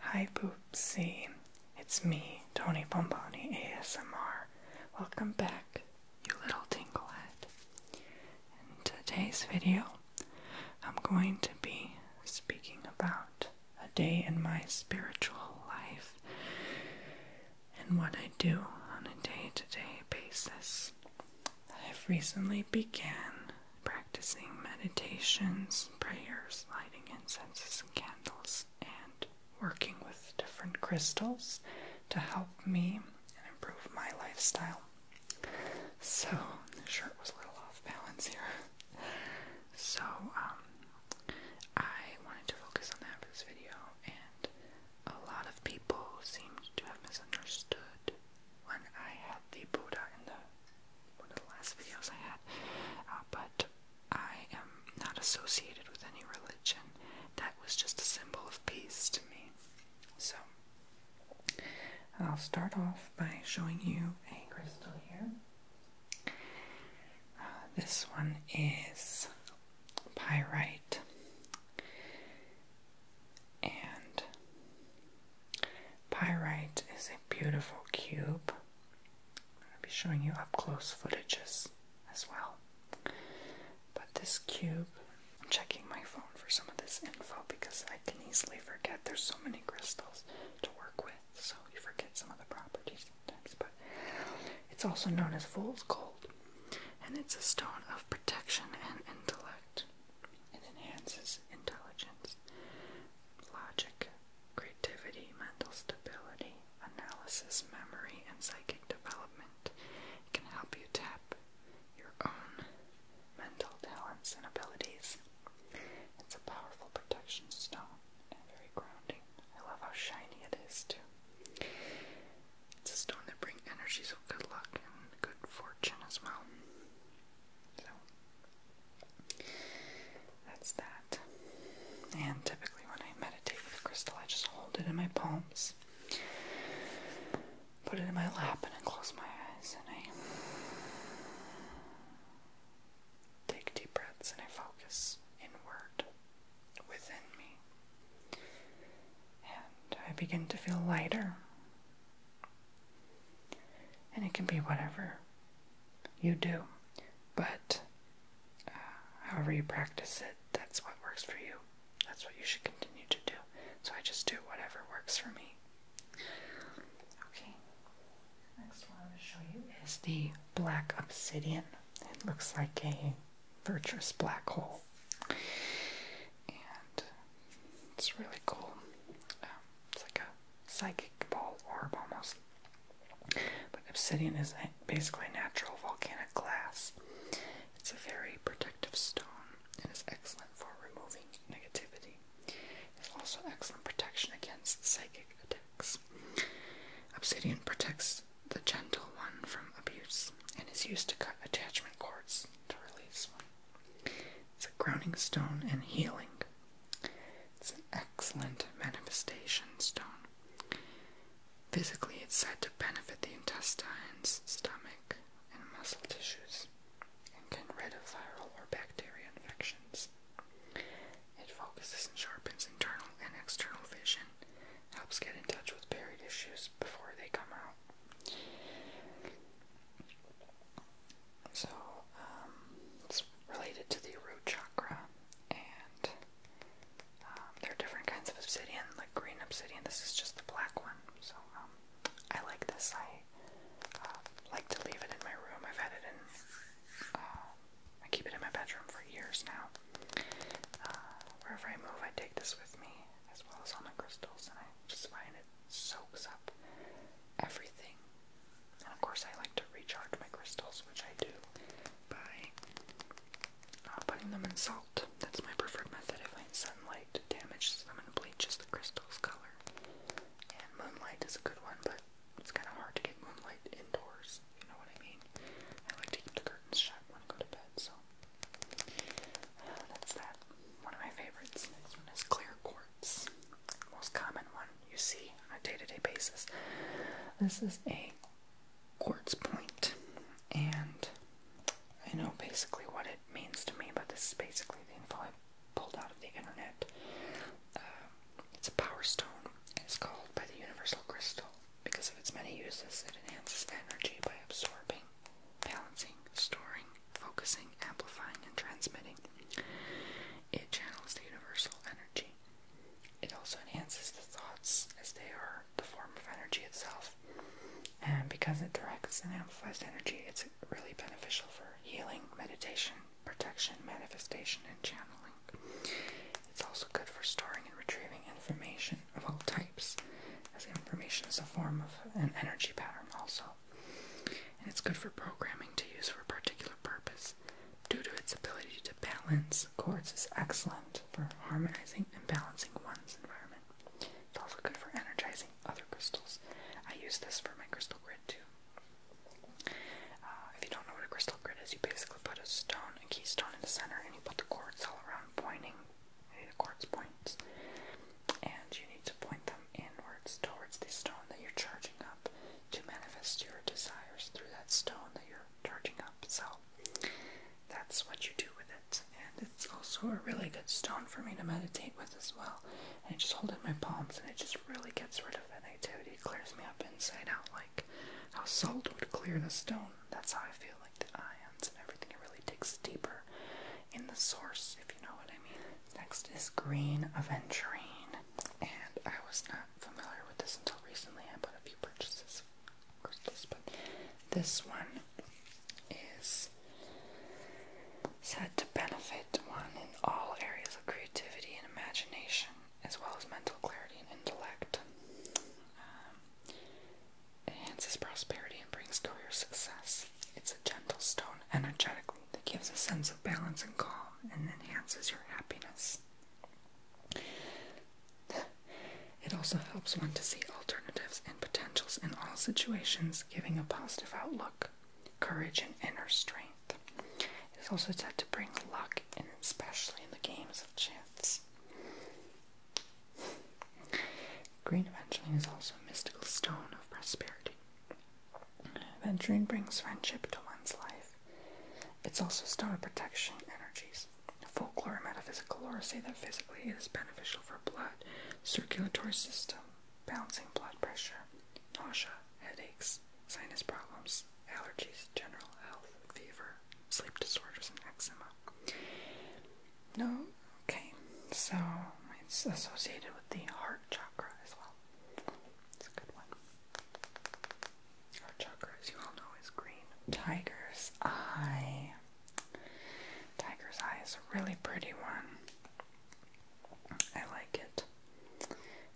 Hi, Poopsie. It's me, Tony Pomponi ASMR. Welcome back, you little tinglehead. In today's video, I'm going to be speaking about a day in my spiritual life and what I do on a day to day basis. I've recently began practicing meditations, prayers, lighting incenses and candles, and working with different crystals to help me improve my lifestyle. So, the shirt was a little off balance here. So, um, I wanted to focus on that for this video, and a lot of people seemed to have misunderstood when I had the Buddha in the one of the last videos I had, uh, but I am not associated with any religion. That was just a symbol of peace to me. So, I'll start off by showing you a crystal here. Uh, this one is pyrite, and Pyrite is a beautiful cube. I'll be showing you up close footages as well. But this cube, I'm checking my phone for some of this info because I can easily forget. There's so many crystals to work with, so you forget some of the properties sometimes. But it's also known as fool's gold, and it's a stone of protection and intellect. It enhances intelligence, logic, creativity, mental stability, analysis, memory, and psychic development. It can help you tap your own mental talents and abilities. It's a powerful protection stone and very grounding. I love how shiny it is, too. It's a stone that brings energies of good luck and good fortune as well. So that's that. And typically, when I meditate with a crystal, I just hold it in my palms, put it in my lap, and I close my eyes and I take deep breaths and I focus inward within me. And I begin to feel lighter and it can be whatever you do, but uh, however you practice it, that's what works for you. That's what you should continue to do. So I just do whatever works for me. Okay, next one I'm going to show you is the black obsidian. It looks like a virtuous black hole it's really cool. Um, it's like a psychic ball orb almost. But obsidian is basically natural volcanic glass. It's a very protective stone and is excellent for removing negativity. It's also excellent protection against psychic attacks. Obsidian protects the gentle one from abuse and is used to cut attachment cords to release one. It's a grounding stone and healing. It's an excellent manifestation stone. Physically, it's said to benefit the intestines, stomach, and muscle tissues, and can rid of viral or bacterial infections. It focuses and sharpens internal and external vision, helps get in touch with buried issues before they come out. So, um, it's related to the root chakra, and um, there are different kinds of obsidian, like green obsidian. This is just the black one. So, um, I like this. I uh, like to leave it in my room. I've had it in. Uh, I keep it in my bedroom for years now. Uh, wherever I move, I take this with me, as well as all my crystals, and I just find it soaks up everything. And of course, I like to recharge my crystals, which I do by uh, putting them in salt. That's my preferred method. I find sunlight damages them and bleaches the crystal's color. And moonlight is a good one, but it's kind of hard to get moonlight indoors. You know what I mean? I like to keep the curtains shut when I go to bed, so. That's that. One of my favorites. Next one is clear quartz. Most common one you see on a day-to-day basis. This is a quartz point, and I know basically what it means to me, but this is basically the info I pulled out of the internet. Uh, it's a power stone. It's called by the universal crystal because of its many uses. It enhances energy by absorbing balancing, storing, focusing, amplifying, and transmitting. It channels the universal energy. It also enhances the thoughts as they are the form of energy itself. And because it directs and amplifies energy, it's really beneficial for healing, meditation, protection, manifestation, and channeling. It's also good for storing and retrieving information of all types, as information is a form of an energy pattern, also and it's good for programming to use for a particular purpose. Due to its ability to balance, Quartz is excellent for harmonizing and balancing one's environment. It's also good for energizing other crystals. I use this for my crystal grid too. Uh, if you don't know what a crystal grid is, you basically put a stone, a keystone in the center, and you put the quartz all around pointing the quartz points, and you need to point them inwards towards the stone that you're charging up to manifest your desires through that stone that you're charging up. So that's what you do with it, and it's also a really good stone for me to meditate with as well. And I just hold it in my palms, and it just really gets rid of negativity. clears me up inside out, like how salt would clear the stone. That's how I feel, like the ions and everything. It really digs deeper in the source, if you know what I mean. Next is green aventurine, and I was not familiar with this until recently. I bought a few purchases of but this one is said to benefit one in all areas of creativity and imagination, as well as mental clarity and intellect. Um, enhances prosperity and brings career success. It's a gentle stone energetically that gives a sense of balance and calm and enhances your happiness. It also helps one to see alternatives and potentials in all situations, giving a positive outlook, courage, and inner strength. It is also said to bring luck, especially in the games of chance. Green Aventurine is also a mystical stone of prosperity. Aventurine brings friendship to one's life. It's also a stone of protection energies. Folklore and metaphysical lore say that physically it is beneficial for blood, circulatory system, balancing blood pressure, nausea, headaches, sinus problems, allergies, general health, fever, sleep disorders, and eczema. No? Okay. So it's associated with the heart chakra as well. It's a good one. Heart chakra, as you all know, is green. Tiger's eye. Tiger's eye is a really pretty one. I like it.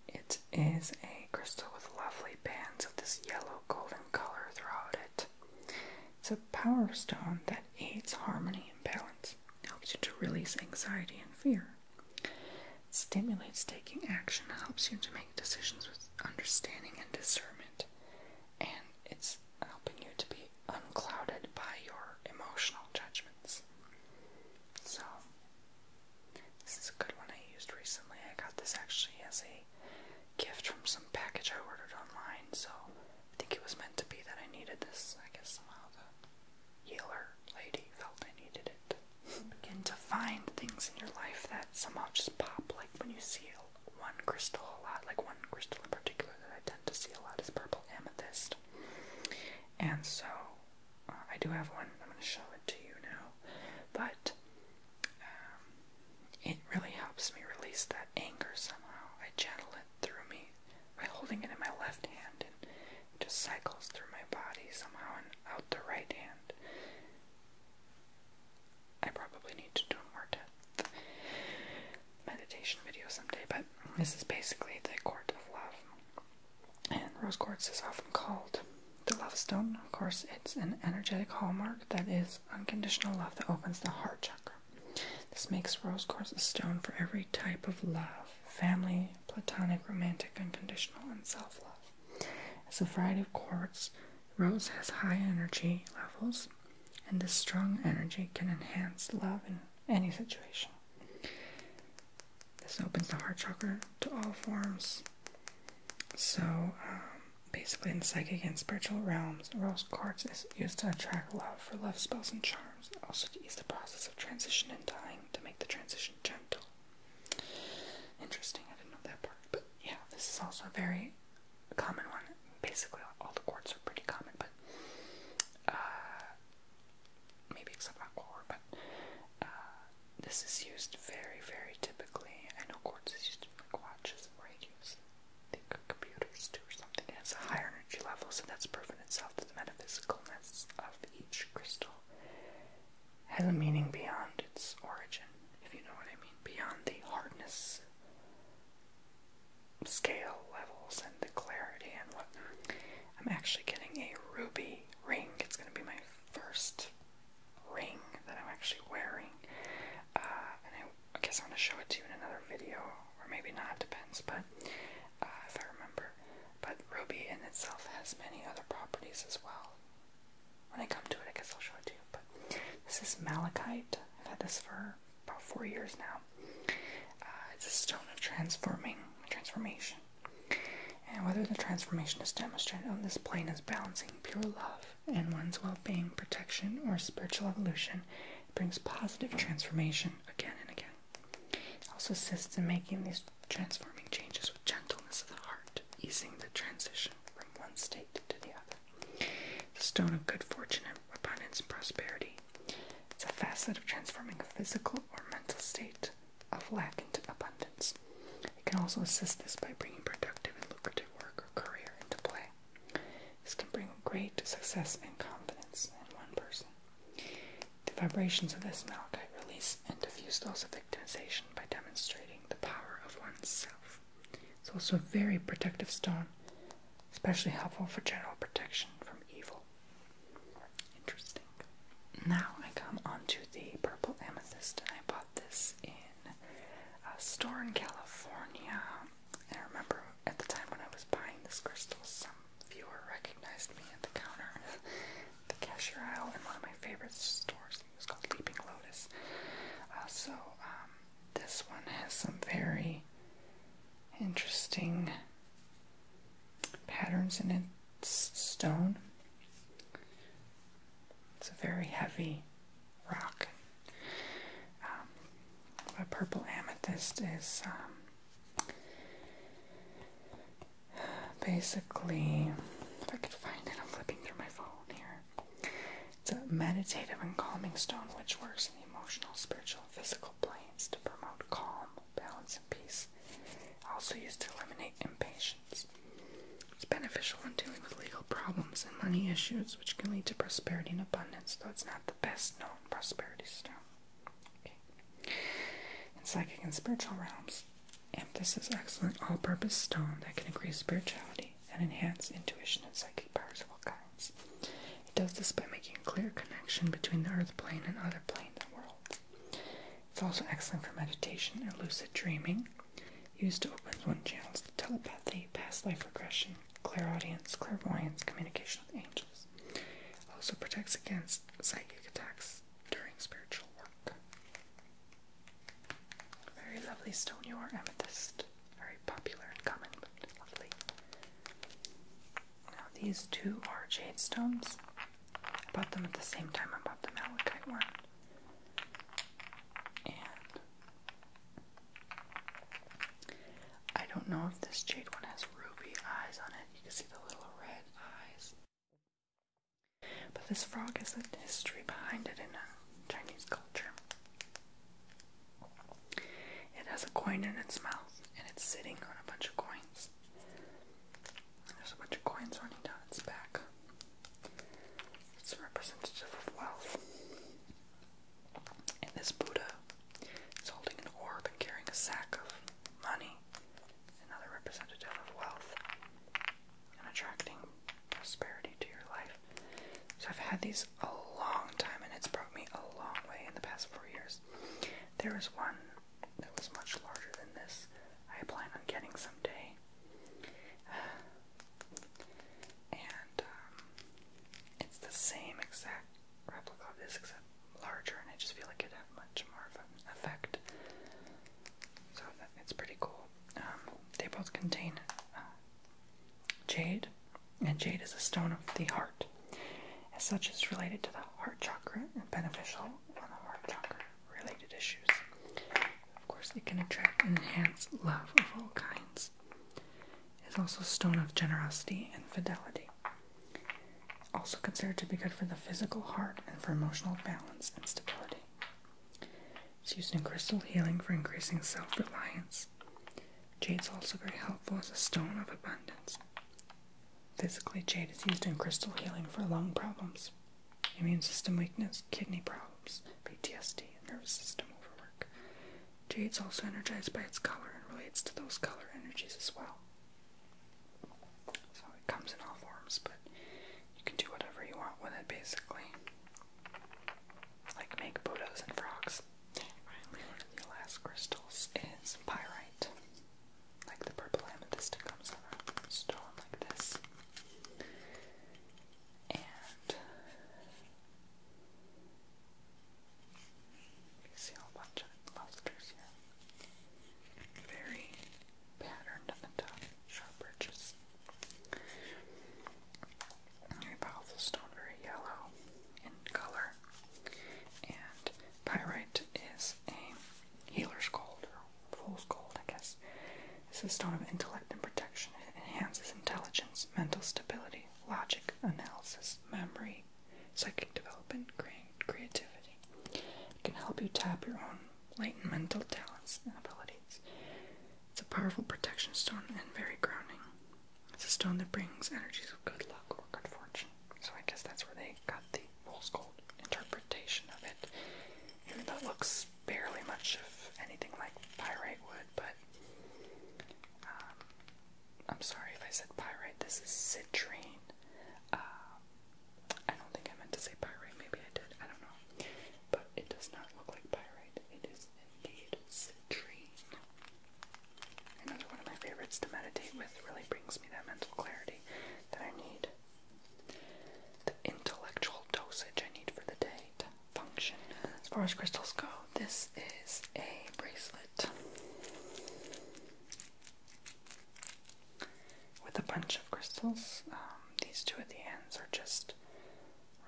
It is a crystal with lovely bands of this yellow golden color throughout it. It's a power stone that aids harmony and balance, helps you to release anxiety and fear. It stimulates taking action, helps you to make decisions with understanding and discernment, and it's helping you to be unclouded by your emotional judgments. So, this is a good one I used recently. I got this actually as a gift from some package I ordered online, so I think it was meant to be that I needed this. I guess somehow the healer lady felt I needed it. Hmm. Begin to find things in your life that somehow just pop, like when you see one crystal a lot, like one crystal in particular that I tend to see a lot is purple amethyst. And so uh, I do have one, I'm going to show it to you now, but um, it really helps me release that anger somehow. I channel it through me by holding it in my left hand and just cycles through my body somehow and out the right hand. I probably need to do more depth meditation video someday, but this is basically the court of love. And rose quartz is often called the love stone. Of course, it's an energetic hallmark that is unconditional love that opens the heart chakra. This makes rose quartz a stone for every type of love family, platonic, romantic, unconditional, and self love. As a variety of quartz, rose has high energy levels, and this strong energy can enhance love in any situation. This opens the heart chakra to all forms. So, um, basically, in psychic and spiritual realms, rose quartz is used to attract love for love spells and charms, and also to ease the process of transition and dying to make the transition gentle. Interesting, I didn't know that part. But yeah, this is also a very common one. Basically, all the quartz are pretty common, but uh, maybe except aquacore, but uh, this is used very, very typically. I know quartz is used in like watches and radios I think computers do something. It has higher energy levels, and that's proven itself that the metaphysicalness of each crystal has a meaning beyond its origin, if you know what I mean, beyond the hardness scale levels and the clarity and whatnot. I'm actually getting a ruby ring. It's going to be my first ring that I'm actually wearing, uh, I guess I'm gonna show it to you in another video, or maybe not, depends, but uh, if I remember. But Ruby in itself has many other properties as well. When I come to it, I guess I'll show it to you. But this is malachite. I've had this for about four years now. Uh, it's a stone of transforming transformation. And whether the transformation is demonstrated on this plane as balancing pure love and one's well being, protection, or spiritual evolution brings positive transformation again and again. It also assists in making these transforming changes with gentleness of the heart, easing the transition from one state to the other. The stone of good fortune, abundance, and prosperity. It's a facet of transforming a physical or mental state of lack into abundance. It can also assist this by bringing productive and lucrative work or career into play. This can bring great success and confidence in one person. The vibrations of this malachite release and diffuse those of victimization by demonstrating the power of oneself. It's also a very protective stone, especially helpful for general protection from evil. Interesting. Now I come onto the purple amethyst, and I bought this in a uh, store in California. And I remember at the time when I was buying this crystal, some viewer recognized me at the counter, the cashier aisle in one of my favorite stores. It was called Leaping Lotus. Uh, so um, this one has some very interesting patterns in its stone. It's a very heavy rock. Um, purple amethyst is um, basically, if I could find it, I'm flipping through my phone here. It's a meditative and calming stone which works in the emotional, spiritual, and physical planes to promote calm, balance, and peace. Also used to eliminate impatience. It's beneficial when dealing with legal problems and money issues, which can lead to prosperity and abundance, though it's the best known prosperity stone. In psychic and spiritual realms, this is excellent all-purpose stone that can increase spirituality and enhance intuition and psychic powers of all kinds. It does this by making a clear connection between the earth plane and other planes and worlds. It's also excellent for meditation and lucid dreaming, used to open one's channels to telepathy, past life regression, clairaudience, clairvoyance, communication with angels. Also protects against psychic attacks during spiritual work. Very lovely stone you are, amethyst. Very popular and common, but lovely. Now these two are jade stones. I bought them at the same time I bought the malachite one. And I don't know if this jade one has ruby eyes on it. You can see the little red eyes. But this frog has a history behind it in Chinese culture. It has a coin in its mouth and it's sitting on a bunch of coins. There's a bunch of coins running down its back. It's representative of wealth. And this Buddha is holding an orb and carrying a sack of money, another representative of wealth and attracting prosperity to your life. So I've had these a long time and it's brought me a long way in the past four years. There was one that was much larger than this. I plan on getting someday and um, it's the same exact replica of this except larger, and I just feel like it had much more of an effect. So it's pretty cool. Um, they both contain uh, jade, and jade is a stone of the heart. As such, it's related to the heart chakra and beneficial on heart chakra related issues. Of course, it can attract and enhance love of all kinds is also stone of generosity and fidelity. Also considered to be good for the physical heart and for emotional balance and stability. It's used in crystal healing for increasing self reliance. Jade's also very helpful as a stone of abundance. Physically, jade is used in crystal healing for lung problems, immune system weakness, kidney problems, PTSD, and nervous system overwork. Jade's also energized by its color and relates to those color energies as well. So it comes in all forms, but you can do whatever you want with it basically. Like make Buddhas and frogs. the last crystals is pyrite. Like the purple amethyst comes on a stone like this. And see a bunch of clusters here. Very patterned up and top, sharp ridges. Very powerful stone, very yellow in color. And pyrite is a healer's gold, or fool's gold, I guess. It's a stone of intellect and protection. It enhances intelligence, mental stability, logic, analysis, memory, psychic development, creativity. It can help you tap your own latent mental talents and abilities. It's a powerful protection stone and very grounding. It's a stone that brings energies of good luck or good fortune. So I guess that's where they got the fool's gold interpretation of it. Even though it looks barely much of anything like pyrite wood, but um, I'm sorry if I said pyrite. This is citrine. Uh, I don't think I meant to say pyrite. Maybe I did. I don't know. But it does not look like pyrite. It is indeed citrine. Another one of my favorites to meditate with really brings me that mental clarity that I need. The intellectual dosage I need for the day function. As far as crystals go, this is a bracelet with a bunch of crystals. Um, these two at the ends are just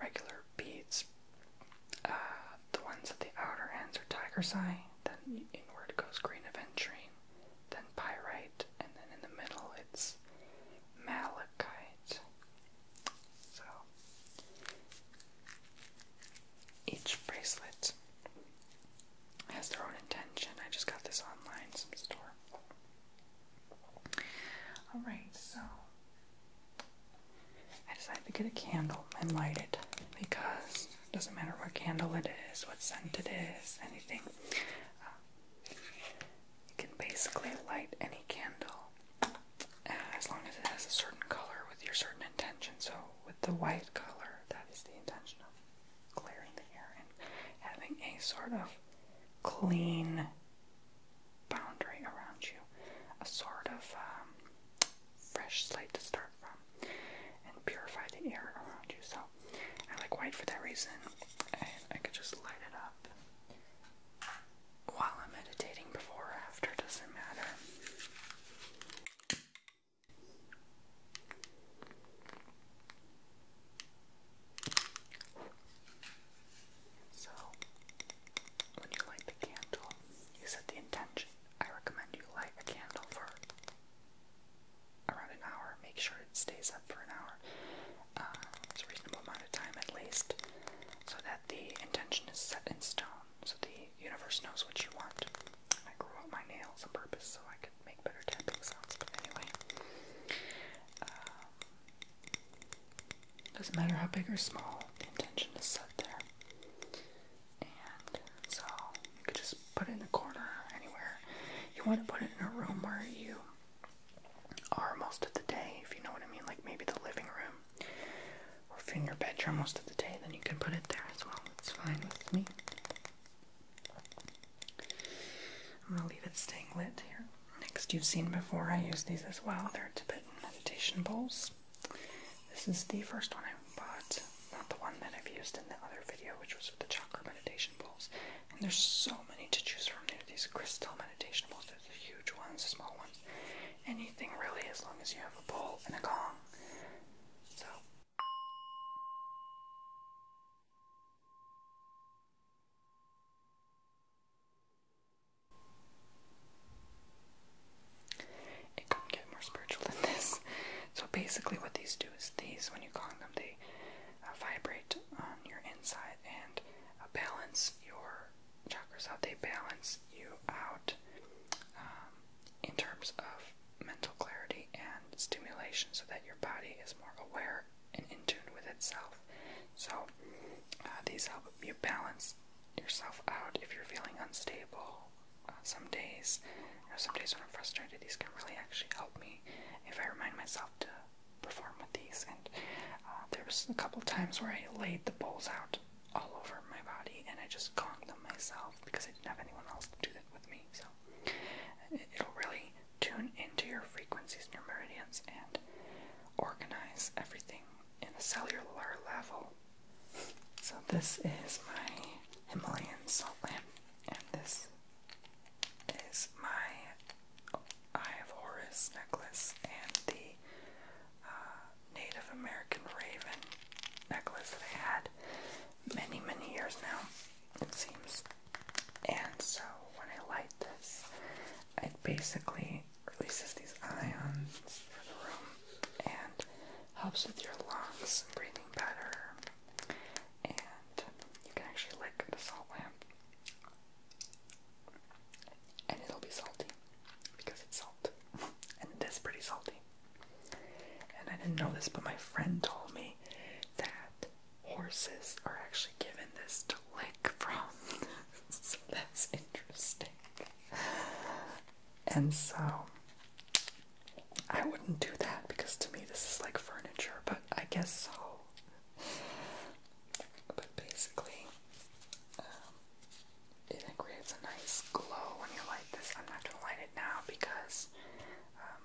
regular beads. Uh, the ones at the outer ends are tiger's eye, then inward goes green aventurine, then pyrite, and then in the middle it's malachite. So each bracelet has their own intention. I just got this online, some store. Alright, so I decided to get a candle and light it because it doesn't matter what candle it is, what scent it is, anything. You can basically light any candle uh, as long as it has a certain color with your certain intention. So, with the white color, that is the intention of clearing the air and having a sort of clean boundary around you, a sort of um, fresh slate to start from, and purify the air around you. So, I like white for that reason, and I could just light it up while I'm meditating, before or after, doesn't matter. So, when you light the candle, you set the intention. I recommend you light a candle for around an hour. Make sure it stays up for an hour. Uh, it's a reasonable amount of time at least. So the intention is set in stone, so the universe knows what you want. I grew out my nails on purpose so I could make better tapping sounds, but anyway. Um, doesn't matter how big or small, the intention is set there. And so you could just put it in the corner, anywhere. You want to put it in a room where you are most of the day, if you know what I mean, like maybe the living room, or if you're in your bedroom most of the day, then you can put it there as well. It's fine with me. I'm gonna leave it staying lit here. Next, you've seen before, I use these as well. They're Tibetan meditation bowls. This is the first one I bought, not the one that I've used in the other video, which was with the chakra meditation bowls. And there's so many to choose from. There these crystal meditation bowls, huge ones, small ones, anything really, as long as you have a bowl and a gong. So. It could get more spiritual than this. So basically, what these do is these, when you gong them, they uh, vibrate on your inside and uh, balance your chakras, how they balance you out um, in terms of mental clarity and stimulation so that your body is more aware and in tune with itself. So, uh, these help you balance yourself out if you're feeling unstable. Uh, some days, you some days when I'm frustrated, these can really actually help me if I remind myself to perform with these, and uh, there was a couple times where I laid the bowls out all over my body, and I just conked them myself because I didn't have anyone else to do that with me. So it'll really tune into your frequencies and your meridians and organize everything in a cellular level. So this is my Himalayan salt lamp, and this is my Eye of Horus necklace and the uh, Native American Raven necklace that I had many, many years now, it seems. And so when I light this, it basically releases these ions for the room and helps with your lungs and breathing better. And you can actually light the salt lamp and it'll be salty because it's salt, and it is pretty salty. And I didn't know this, but my friend told me that horses are actually given this to lick from. so that's interesting. And so I wouldn't do that because to me this is like furniture, but I guess so. But basically, um, it creates a nice glow when you light this. I'm not gonna light it now because um,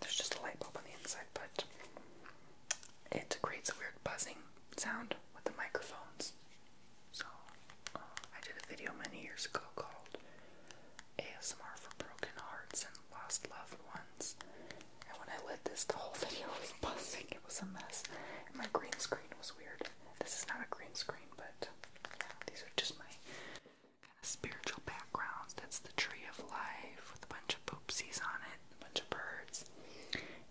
there's just a light bulb on the inside, but it creates a weird buzzing sound with the microphones. So uh, I did a video many years ago called ASMR for Broken Hearts and Lost Loved Ones. And when I lit this, the whole video was buzzing. It was a mess. And my green screen was weird. This is not a green screen, but these are just my kind of spiritual backgrounds. That's the tree of life with a bunch of poopsies on it, a bunch of birds.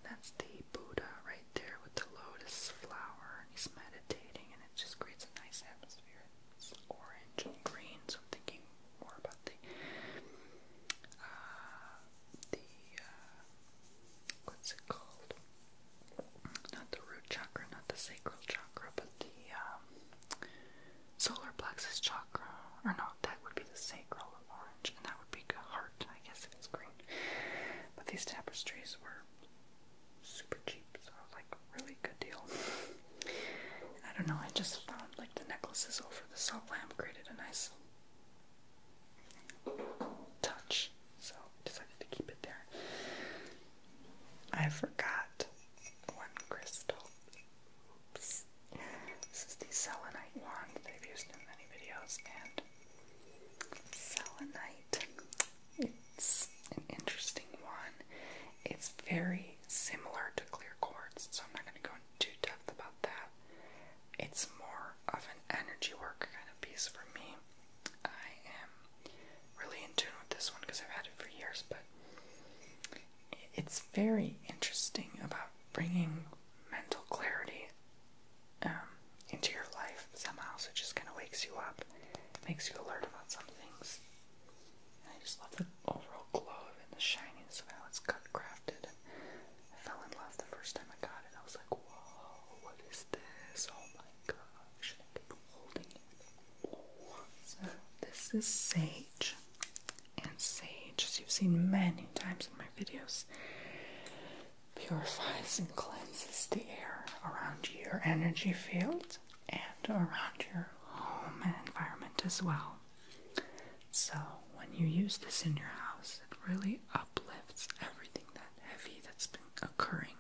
That's the Buddha right there with the lotus flower. He's meditating, and it just creates a nice atmosphere. It's orange and green, so I'm thinking more about the uh, the uh, what's it called? Not the root chakra, not the sacral chakra, but the um, solar plexus chakra. Or not? that would be the sacral orange, and that would be heart, I guess, if it's green. But these tapestries were super cheap, so like really good deal. I don't know, I just found like the necklaces over the salt lamp created a nice touch, so I decided to keep it there. I forgot one crystal. This is the selenite wand that I've used in many videos, and selenite. It's an interesting one. It's very similar to clear quartz, so I'm not going to go into too depth about that it's more of an energy work kind of piece for me. I am really in tune with this one because I've had it for years, but it's very interesting about bringing mental clarity um, into your life somehow. So it just kind of wakes you up, makes you alert about some things. And I just love the overall glow and the shininess of how it's cut crafted. I fell in love the first time I got it. I was like, whoa, what is this? Oh my gosh. And I kept holding it. So this is sage. And sage, as you've seen many times in my videos, purifies and cleanses the air around your energy field and around your home and environment as well. So, when you use this in your house, it really uplifts everything that heavy that's been occurring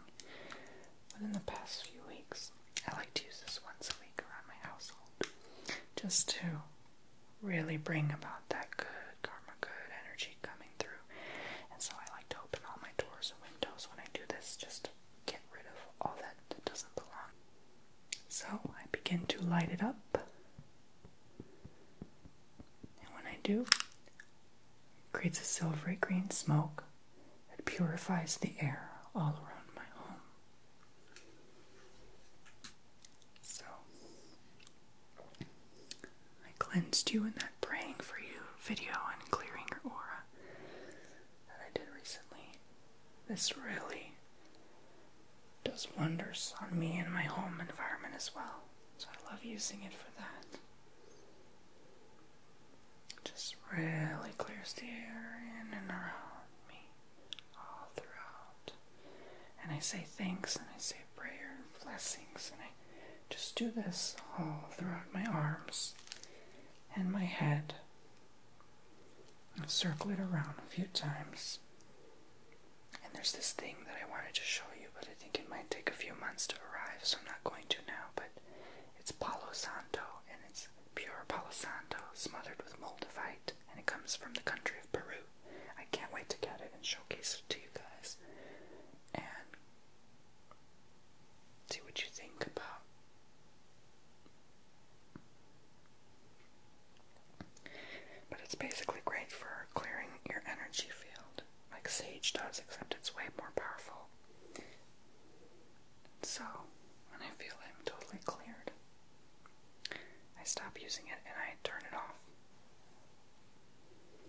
within the past few weeks. I like to use this once a week around my household just to really bring about that good karma, good energy coming through. And so, I like to open all my doors and windows when I do this just to get rid of all that that doesn't belong. So I begin to light it up and when I do, it creates a silvery green smoke that purifies the air all around my home. So, I cleansed you in that praying for you video and clearing your aura that I did recently. This really does wonders on me and my home environment as well. So I love using it for that. Just really clears the air in and around me all throughout. And I say thanks and I say prayer and blessings and I just do this all throughout my arms and my head. And circle it around a few times. And there's this thing that I wanted to show you, but I think it might take a few months to arrive, so I'm not going to now. But it's Palo Santo, and it's pure Palo Santo smothered with moldavite, and it comes from the country of Peru. I can't wait to get it and showcase it to you guys. And see what you think about but it's basically great for clearing your energy field, like sage does, except it's way more powerful. So, when I feel I'm totally cleared, I stop using it and I turn it off.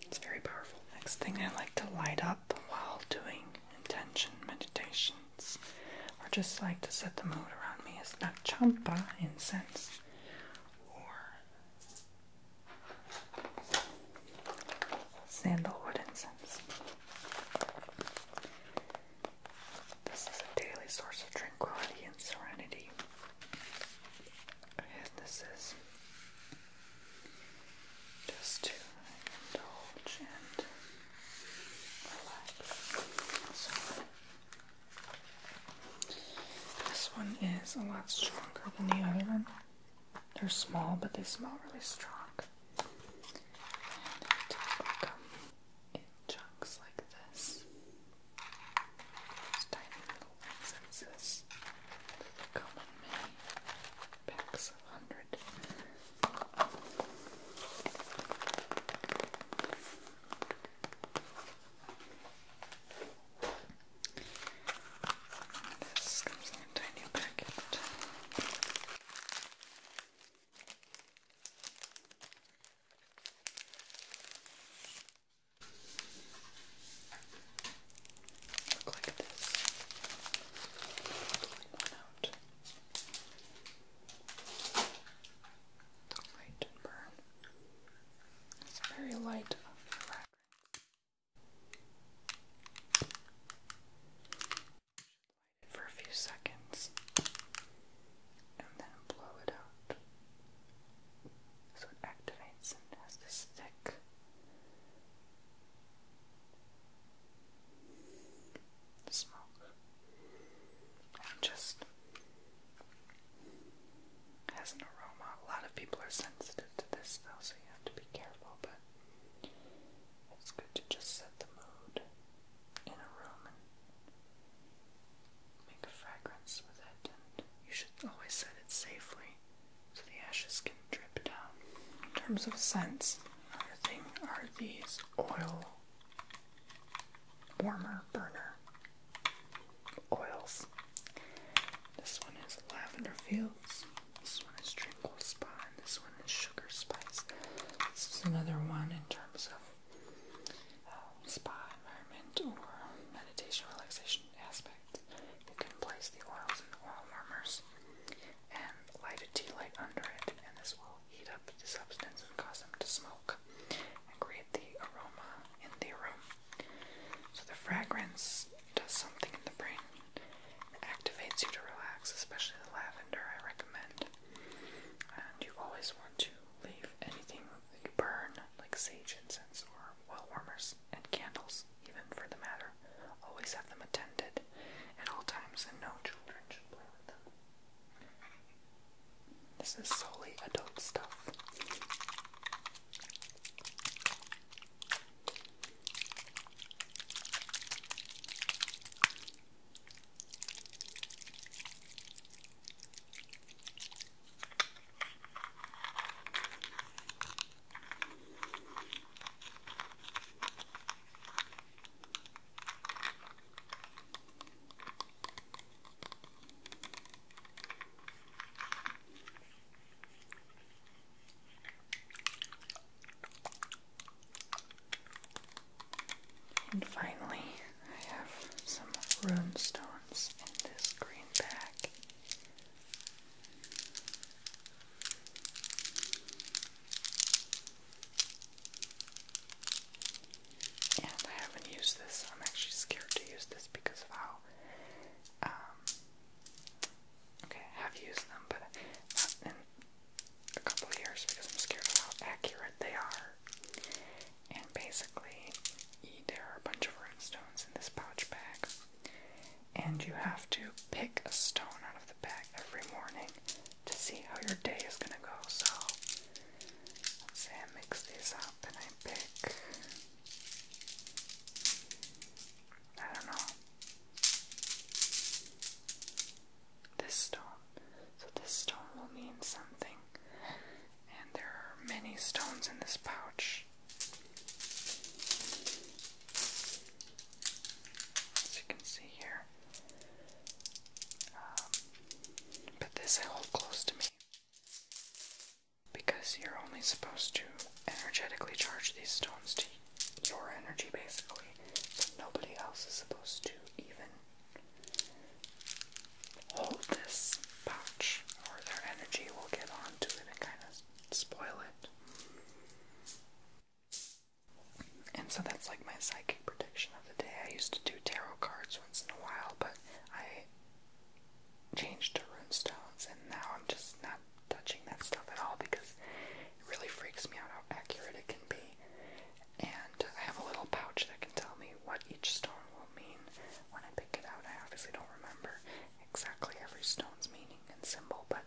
It's very powerful. Next thing I like to light up while doing intention meditations, or just like to set the mood around me, is that champa incense sandalwood incense. This is a daily source of tranquility and serenity. And this is just to indulge and relax. This one is a lot stronger than the other one. They're small, but they smell really strong. And it come in chunks like this. tiny little incenses come in packs of hundred. This comes in a tiny packet. Look like this. Pulling one out. The light and burn. It's very light fragrance. Light it for a few seconds and then blow it out so it activates and has this thick smoke just has an aroma. A lot of people are sensitive to this though, so you have to be careful, but it's good to just set the mood in a room and make a fragrance with it, you should always set it safely so the ashes can drip down. In terms of scents, another thing are these oil warmer burner oils. This one is lavender fields. This one is tranquil spa. this one is sugar spice. This is another one in terms of um, spa environment meditation relaxation aspect. You can place the oils in the oil warmers and light a tea light under it, and this will heat up the substance and cause them to smoke and create the aroma in the room. So the fragrance does something in the brain. It activates you to relax, especially the lavender I recommend. And you always want to leave anything that you burn, like sage incense or oil warmers and candles, even for the matter. Always have them attended at all times and no children should play with them. This is solely adult stuff. And finally, I have some rune stones in this green bag. And I haven't used this. I'm actually scared to use this because of how. Um, okay, have used them, but in a couple years because I'm scared of how accurate they are. And basically, there are a bunch of runestones in this pouch bag, and you have to pick a stone out of the bag every morning to see how your day is going to go. So let's say I mix these up and I pick. I don't know. This stone. So this stone will mean something. And there are many stones in this pouch. As you can see here. Um, but this I hold close to me because you're only supposed to energetically charge these stones to your energy, basically. So nobody else is supposed to even hold this pouch, or their energy will get onto it and kind of spoil it. And so that's like my psychic psychic prediction of the day. I used to do tarot cards once in a while, but I changed to runestones, and now I'm just not touching that stuff at all because it really freaks me out how accurate it can be. And I have a little pouch that can tell me what each stone will mean when I pick it out. I obviously don't remember exactly every stone's meaning and symbol, but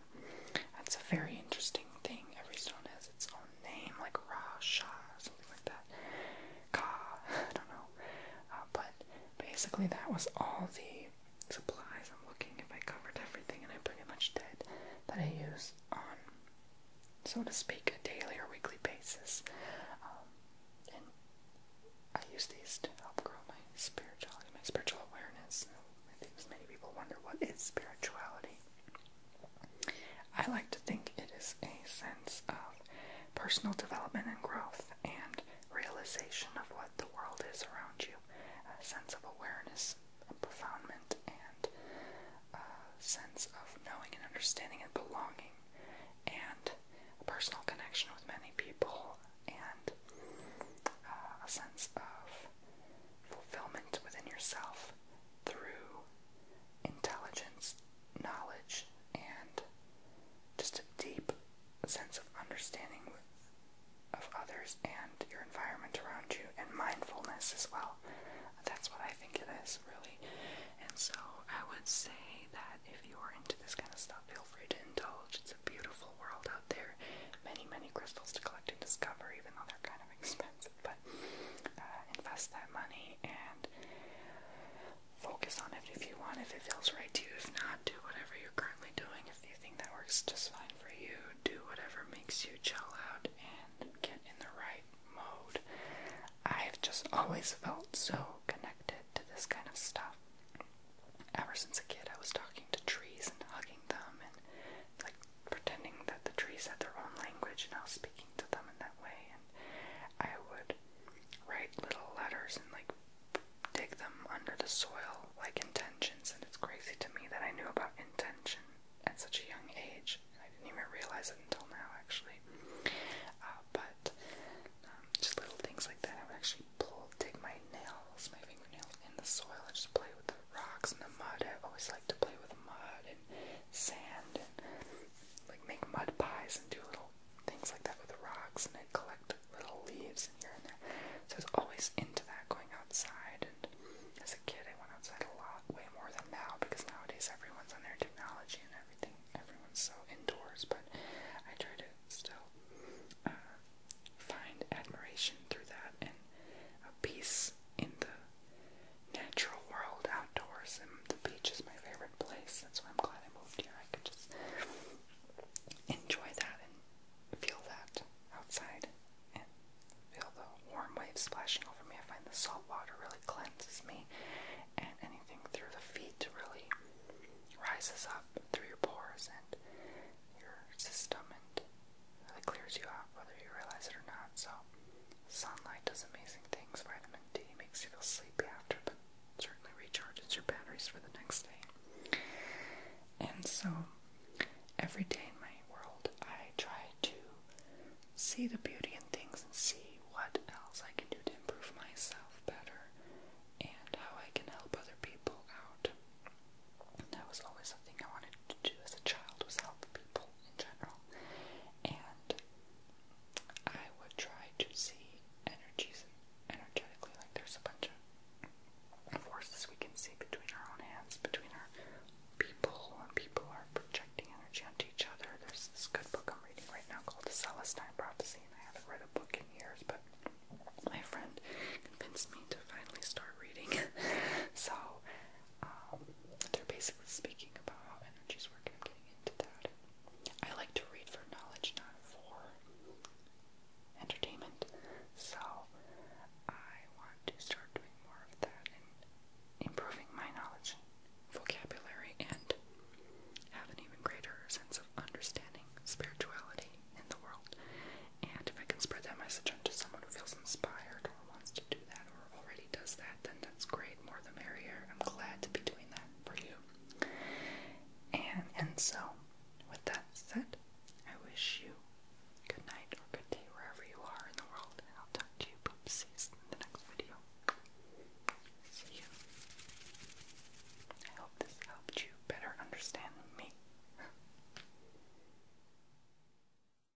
that's a very interesting thing. Every stone has its own own name, like Ra Shah, something like that. Ka, I don't know. Uh, but basically, that was all the supplies. I'm looking if I covered everything, and I pretty much did that I use on, so to speak, a daily or weekly basis. Um, and I use these to help grow my spirituality, my spiritual awareness. I think many people wonder what is spirituality. I like to think it is a sense of personal development and growth and realization of what the world is around you, a sense of awareness, a profoundment, and a sense of knowing and understanding and belonging, and a personal connection with many people, and uh, a sense of fulfillment within yourself, through intelligence, knowledge, and just a deep sense of understanding of others and your environment around you, and mindfulness as well. That's what I think it is, really. And so I would say that if you are into this kind of stuff, feel free to indulge. It's a beautiful world out there. Many, many crystals to collect and discover, even though they're kind of expensive. But uh, invest that money and focus on it if you want, if it feels right to you. If not, do whatever you're currently doing. If you think that works just fine for you, do whatever makes you chill out and get in the right mode. I've just always felt so connected to this kind of stuff. Ever since a kid, I was talking to trees and hugging them and like pretending that the trees had their own language and I was speaking to them in that way. And I would write little letters and like dig them under the soil, like intentions. And it's crazy to me that I knew about intention at such a young age. I didn't even realize it until now, actually. Uh, but um, just little things like that. I would actually pull, dig my nails, my fingernails in the soil, and just play with the rocks and the mud. I always liked to play with mud and sand and like make mud pies and do little things like that with rocks and I collect little leaves and here and there. So I was always into that going outside and as a kid I went outside a lot, way more than now because nowadays everyone's on their technology and everything. Everyone's so indoors, but I try to still uh, find admiration through that and a peace in the natural world outdoors, and the beach is my favorite place. That's why I'm glad I moved here. I could just enjoy that and feel that outside and feel the warm waves splashing over me. I find the salt water really cleanses me, and anything through the feet really rises up through your pores and your system and it clears you out whether you realize it or not. So, sunlight does amazing things. Vitamin D makes you feel sleepy after, but certainly recharges your batteries for the next day. And so, every day in my world, I try to see the beauty in things and see what else I can do to improve myself better and how I can help other people out. that was always something I wanted to do as a child was help people in general. And I would try to see energies energetically, like there's a bunch of forces we can see between our own hands, between our people, and people are projecting energy onto each other. There's this good book I'm reading right now called The Celestine Prophecy, and I haven't read a book in years, but my friend convinced me to finally start reading. so um, they're basically speaking about how energies work, and I'm getting into that. I like to read for knowledge, not for entertainment. So I want to start doing more of that and improving my knowledge, vocabulary, and have an even greater sense of understanding spirituality in the world. And if I can spread that message onto someone who feels inspired or wants to do that or already does that, then that's great. More the merrier. I'm glad to be doing that for you. And and so, with that said, I wish you good night or good day wherever you are in the world, and I'll talk to you poopsies in the next video. See you. I hope this helped you better understand me.